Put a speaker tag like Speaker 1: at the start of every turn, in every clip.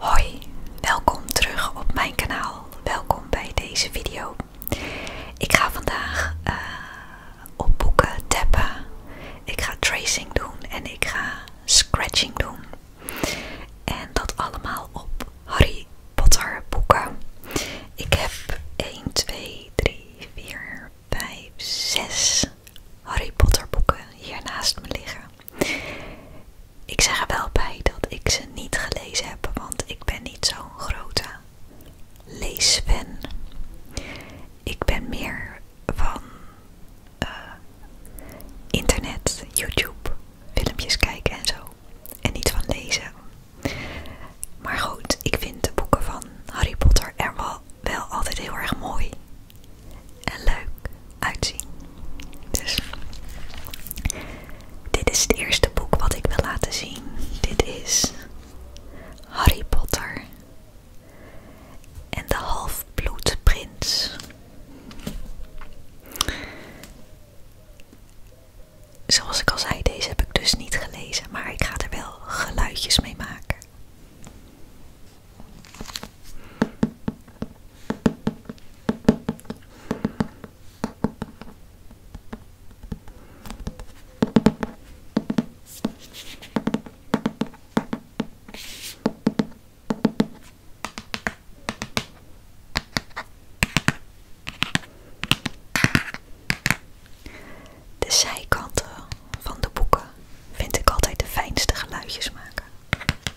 Speaker 1: Hoi, welkom terug op mijn kanaal. Welkom bij deze video. Ik ga vandaag uh, op boeken tappen. Ik ga tracing doen en ik ga scratching doen. En dat allemaal op Harry Potter boeken. Ik heb 1, 2, 3, 4, 5, 6 Harry Potter boeken hier naast me liggen. Ik zeg er wel bij dat ik ze niet gelezen heb, want ik ben niet zo'n grote leesfan. Ik ben meer van eh, internet, YouTube, filmpjes kijken en zo. En niet van lezen. Maar goed, ik vind de boeken van Harry Potter er wel altijd heel erg mooi en leuk uitzien. Dus, dit is het eerste boek wat ik wil laten zien. Dit is Harry Potter en de Halfbloedprins. Zoals ik al zei, deze heb ik dus niet gelezen, maar ik ga er wel geluidjes mee maken. De zijkanten van de boeken vind ik altijd de fijnste geluidjes maken.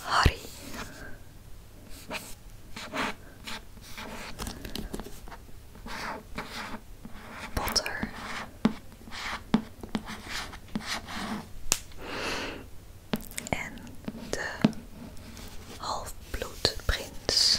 Speaker 1: Harry. Potter. En de halfbloedprins. Prince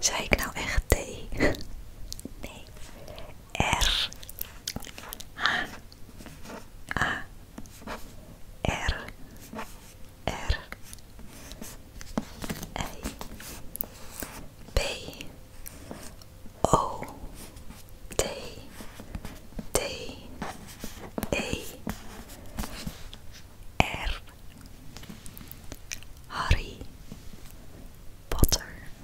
Speaker 1: T ik nou echt T? nee, R H A R R A B O D D E R Harry Potter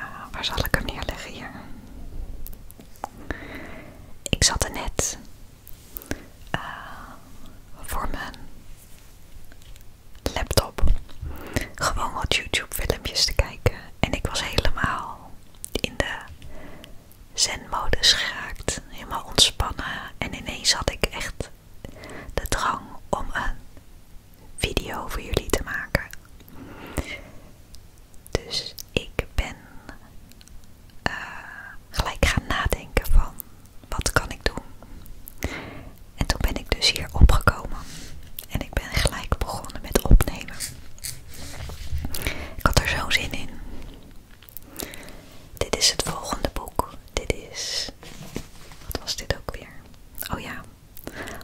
Speaker 1: Ah, waar zal ik hem neerleggen hier? Ik zat er net eh, voor mijn laptop gewoon wat YouTube filmpjes te kijken. En ik was helemaal in de zen-modus geraakt. Helemaal ontspannen. En ineens had ik echt de drang om een video voor jullie te maken. Dus ik ben eh, gelijk gaan nadenken van wat kan ik doen. En toen ben ik dus hier opgekomen. En ik ben gelijk begonnen met opnemen. Ik had er zo'n zin in. Dit is het volgende boek. Dit is. Wat was dit ook weer? Oh ja.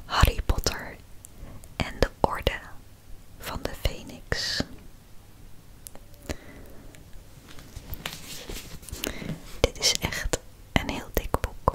Speaker 1: Harry Potter en de Orde van de Phoenix. Dit is echt een heel dik boek.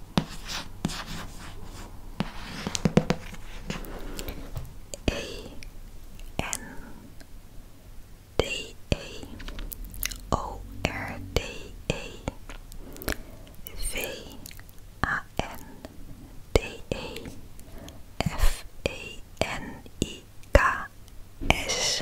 Speaker 1: A N D A O R D A V A N D A F A N I K S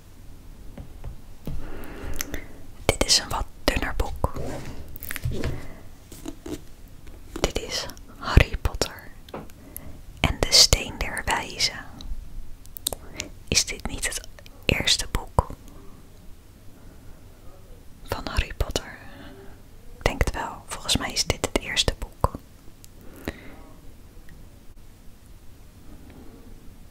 Speaker 1: Dit is een wat dunner boek. Dit is Harry Potter en de Steen der Wijzen. Is dit niet het eerste boek van Harry Potter? Ik denk het wel. Volgens mij is dit het eerste boek.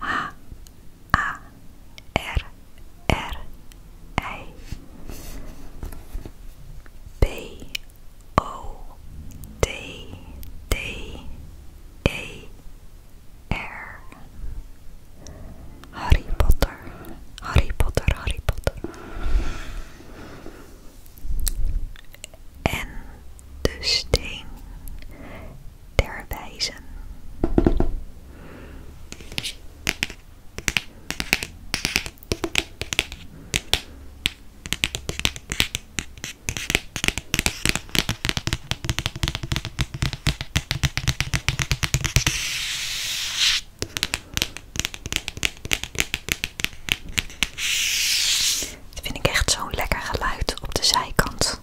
Speaker 1: A R R B O D D E R Harry Potter, Harry Potter, Harry Potter. En de steen Terwijl vind ik echt zo'n lekker geluid op de zijkant.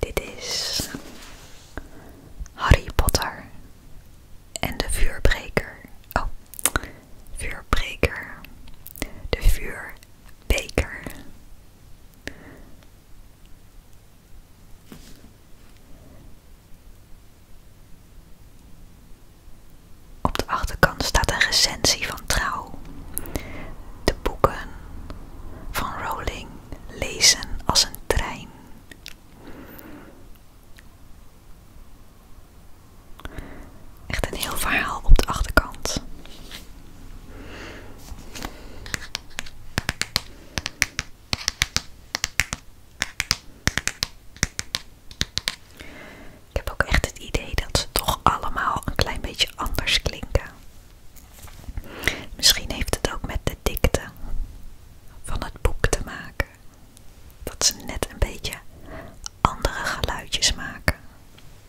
Speaker 1: Dit is Harry Potter en de vuurbreker. Oh, vuurbreker. De vuurbeker. Op de achterkant staat een recensie van Trouw. De boeken van Rowling lezen als een trein. Echt een heel verhaal op de achterkant. Ik heb ook echt het idee dat ze toch allemaal een klein beetje anders klinken. Misschien heeft het ook met de dikte van het boek te maken. Dat ze net een beetje andere geluidjes maken.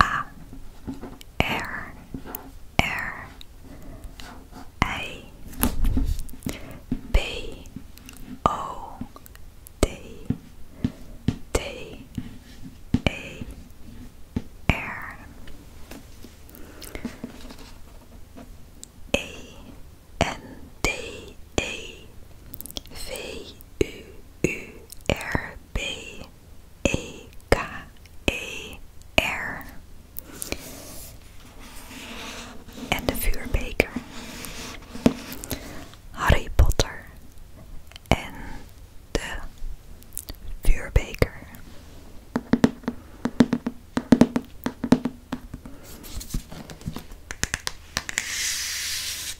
Speaker 1: A R R A B O D D A R E N D E V U U R B K R en de vuurbeker. Harry Potter en de vuurbeker.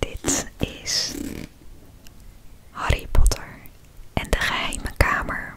Speaker 1: Dit is Harry Potter en de geheime kamer.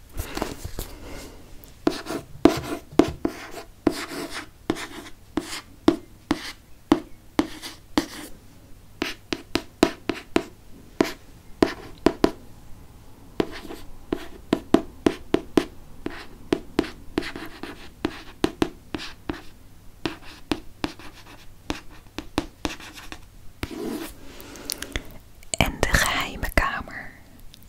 Speaker 1: En de geheime kamer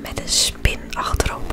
Speaker 1: Met een spin achterop.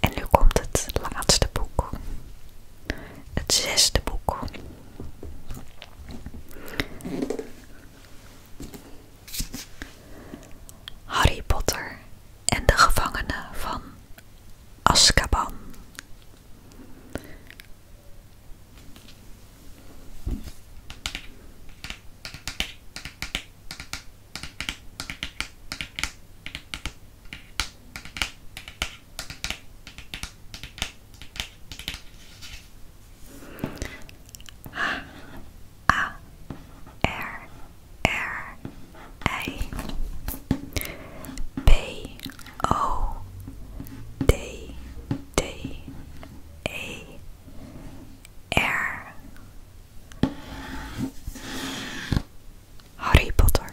Speaker 1: En nu komt het laatste boek. Het zesde boek. Harry Potter en de gevangenen van Azkaban. Ah. A R R A B O D D A R Harry Potter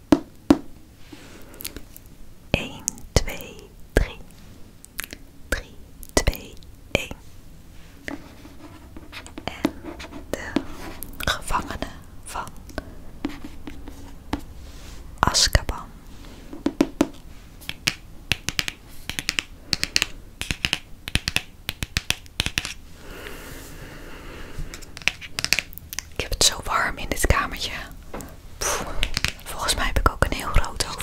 Speaker 1: 1, 2, 3. 3, 2, 1. En de gevangene van Azkaban. Ik heb het zo warm in dit kamertje. volgens mij heb ik ook een heel rood hoofd.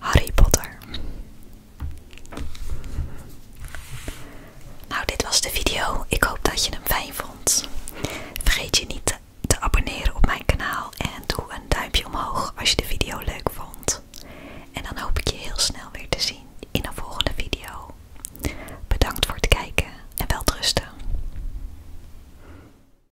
Speaker 1: Harry Potter. Nou, dit was de video. Ik hoop dat je hem fijn vond. Vergeet je niet te abonneren op mijn kanaal en doe een duimpje omhoog als je de video leuk vond. En dan hoop ik je heel snel weer te zien in een volgende video. Bedankt voor het kijken en welterusten.